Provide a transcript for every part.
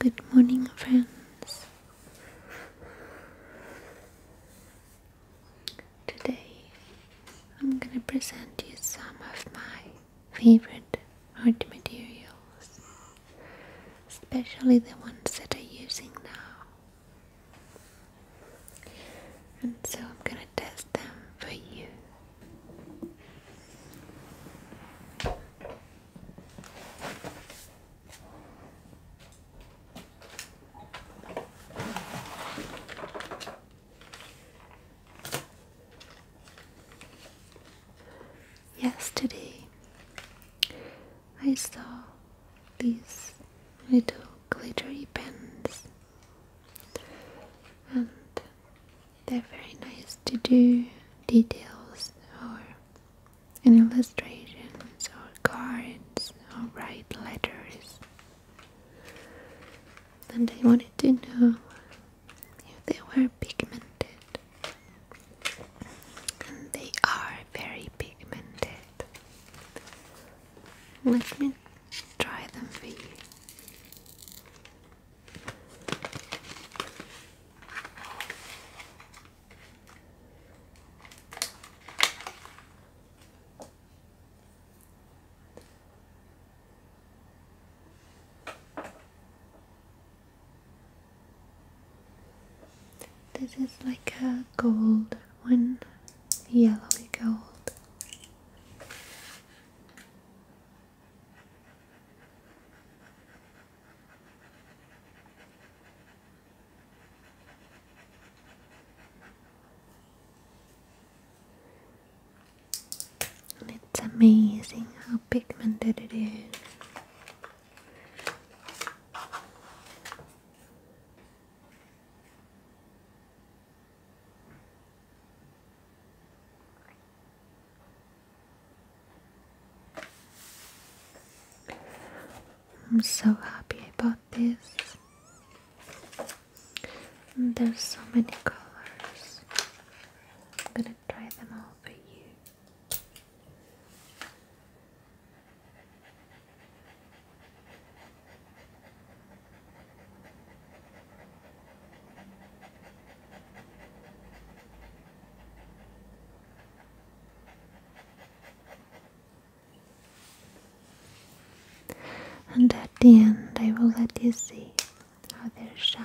Good morning, friends. Today I'm going to present you some of my favorite art materials, especially the ones that I'm using now. And so I'm going to test them for you. Yesterday, I saw these little glittery pens, and they're very nice to do details or illustrations or cards or write letters. And I wanted to know if they were pigmented. And they are very pigmented. Let me try them for you. This is like a gold one, yellowy gold it's amazing how pigmented it is. I'm so happy about this. There's so many colors. I'm gonna try them all for you. And at the end, I will let you see how they shine.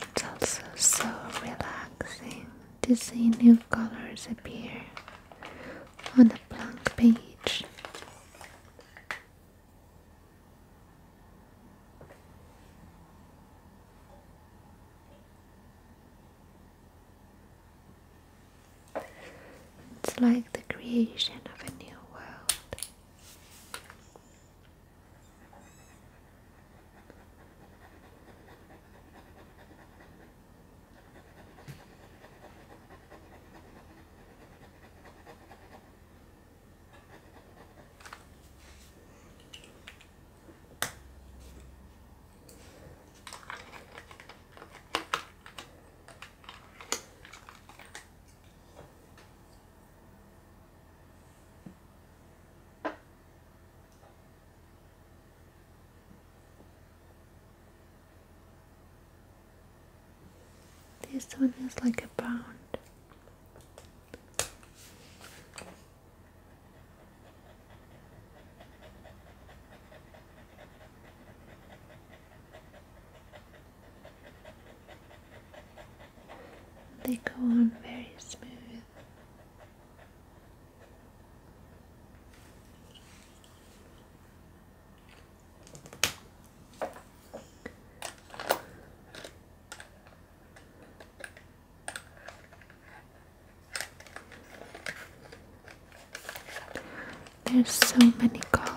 It's also so relaxing to see new colors appear on a blank page. It's like the creation of a new world. This one is like a pound. They go on very smooth. There's so many colors.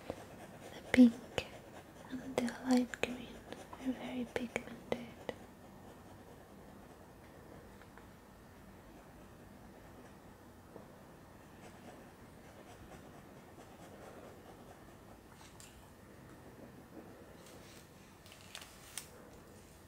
The pink and the light green are very pigmented.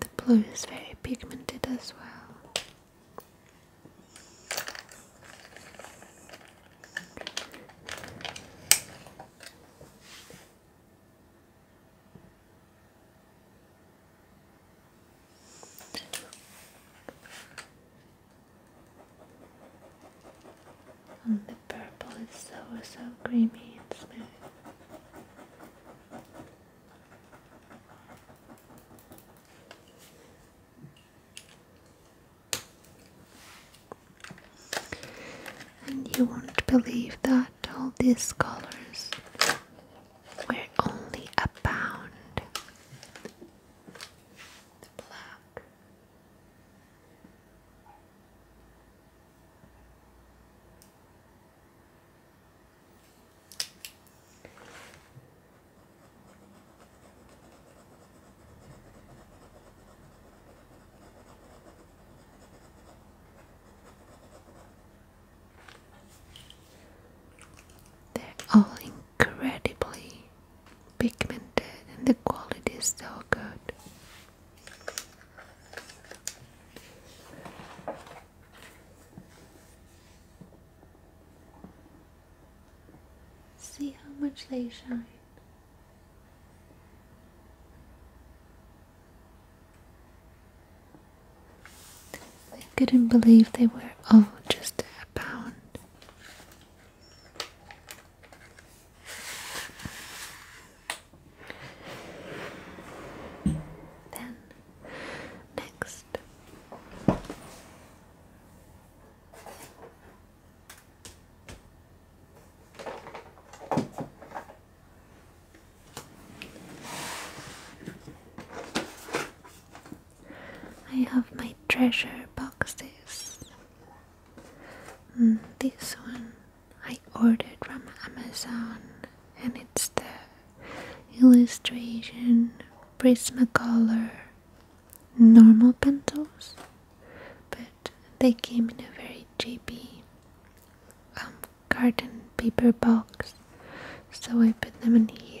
The blue is very pigmented as well. And the purple is so so creamy and smooth. And you won't believe that all these colors were only a pound. The black. They're all incredibly pigmented, and the quality is so good. See how much they shine. I couldn't believe they were all just a pound. Then, next. I have my treasure boxes. Mm, this one I ordered from Amazon and it's the illustration Prismacolor normal pencils but they came in a very cheapy um, cardboard paper box so I put them in here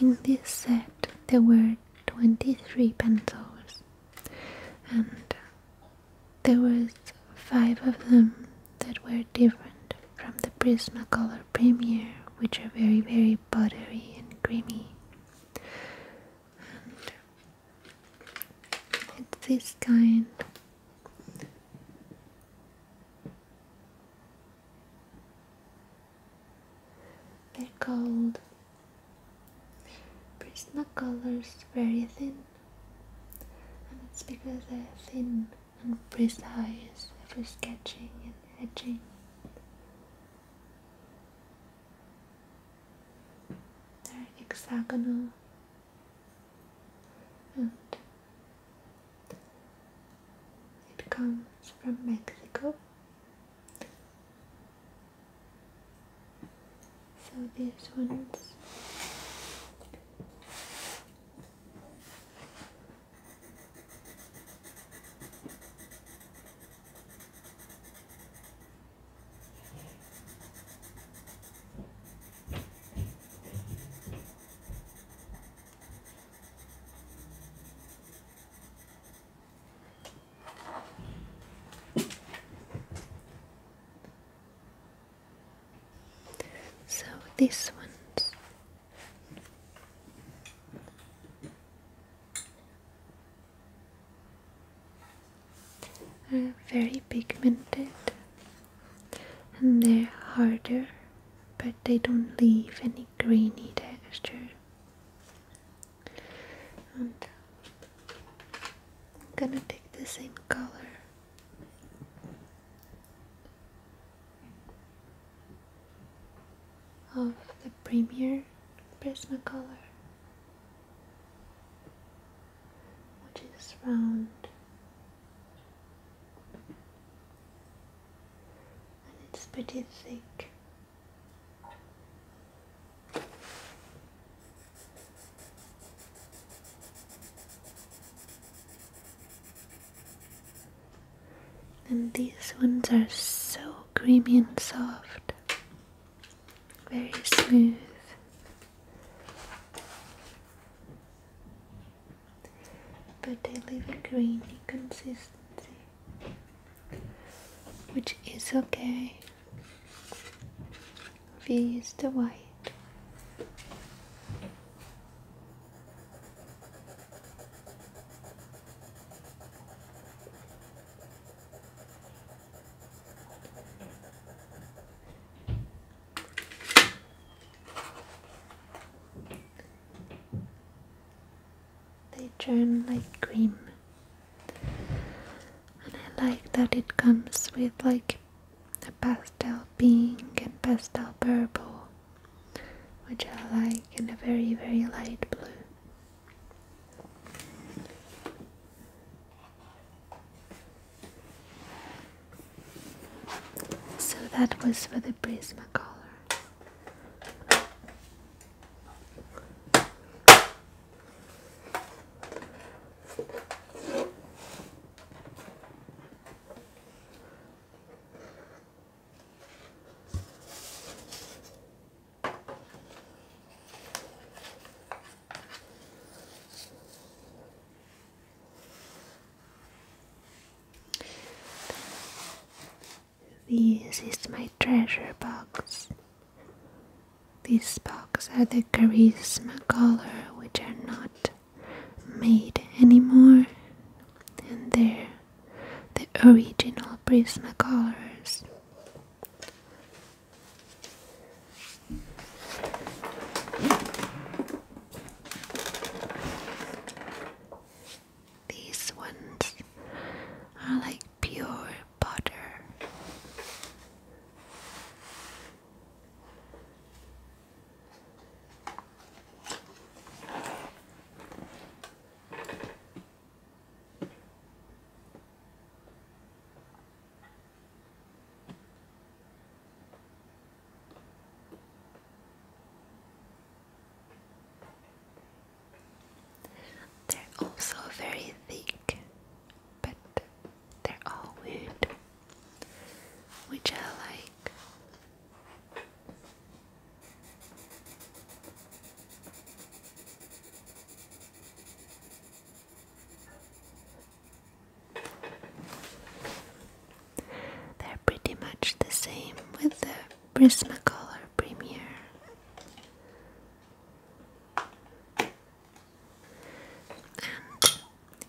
In this set there were 23 pencils and there was five of them that were different from the Prismacolor Premier which are very very buttery and creamy and it's this kind they're called Prismacolors very thin, and it's because they're thin and precise for sketching and etching. They're hexagonal and it comes from Mexico. So these ones so this one's are very pigmented and they're harder but they don't leave any grainy texture. And I'm gonna take the same color. Of the Premier Prismacolor, which is round and it's pretty thick. And these ones are so creamy and soft, very smooth but they leave a grainy consistency, which is okay. We use the white they turn like cream and I like that it comes with like a pastel pink and pastel purple which I like and a very very light blue so that was for the Prismacolor. This is my treasure box. These boxes are the charisma color, which are not made anymore, and they're the original Prismacolors. These ones are like pure butter. They're also very thick, but they're all wood, which I like. They're pretty much the same with the Prismacolor Premiere. And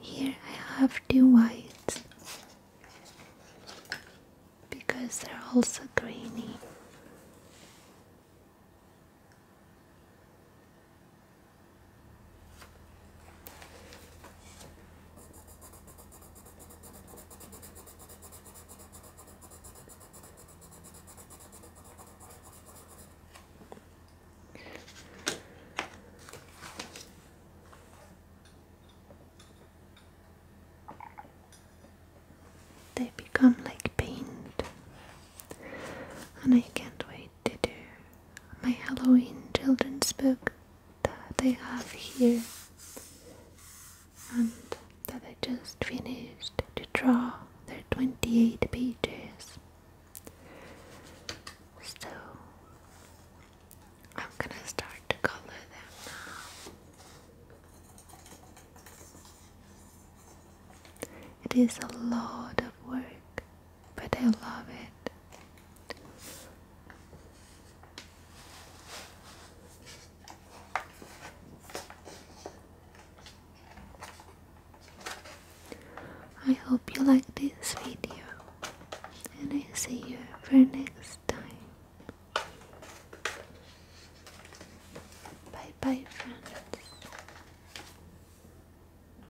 here I have two whites because they're also grainy. They become like paint, and I can't wait to do my Halloween children's book that I have here and that I just finished to draw. their 28 pages. So I'm gonna start to color them now. It is a lot of work but I love it. I hope you like this video and I see you for next time. Bye bye friends.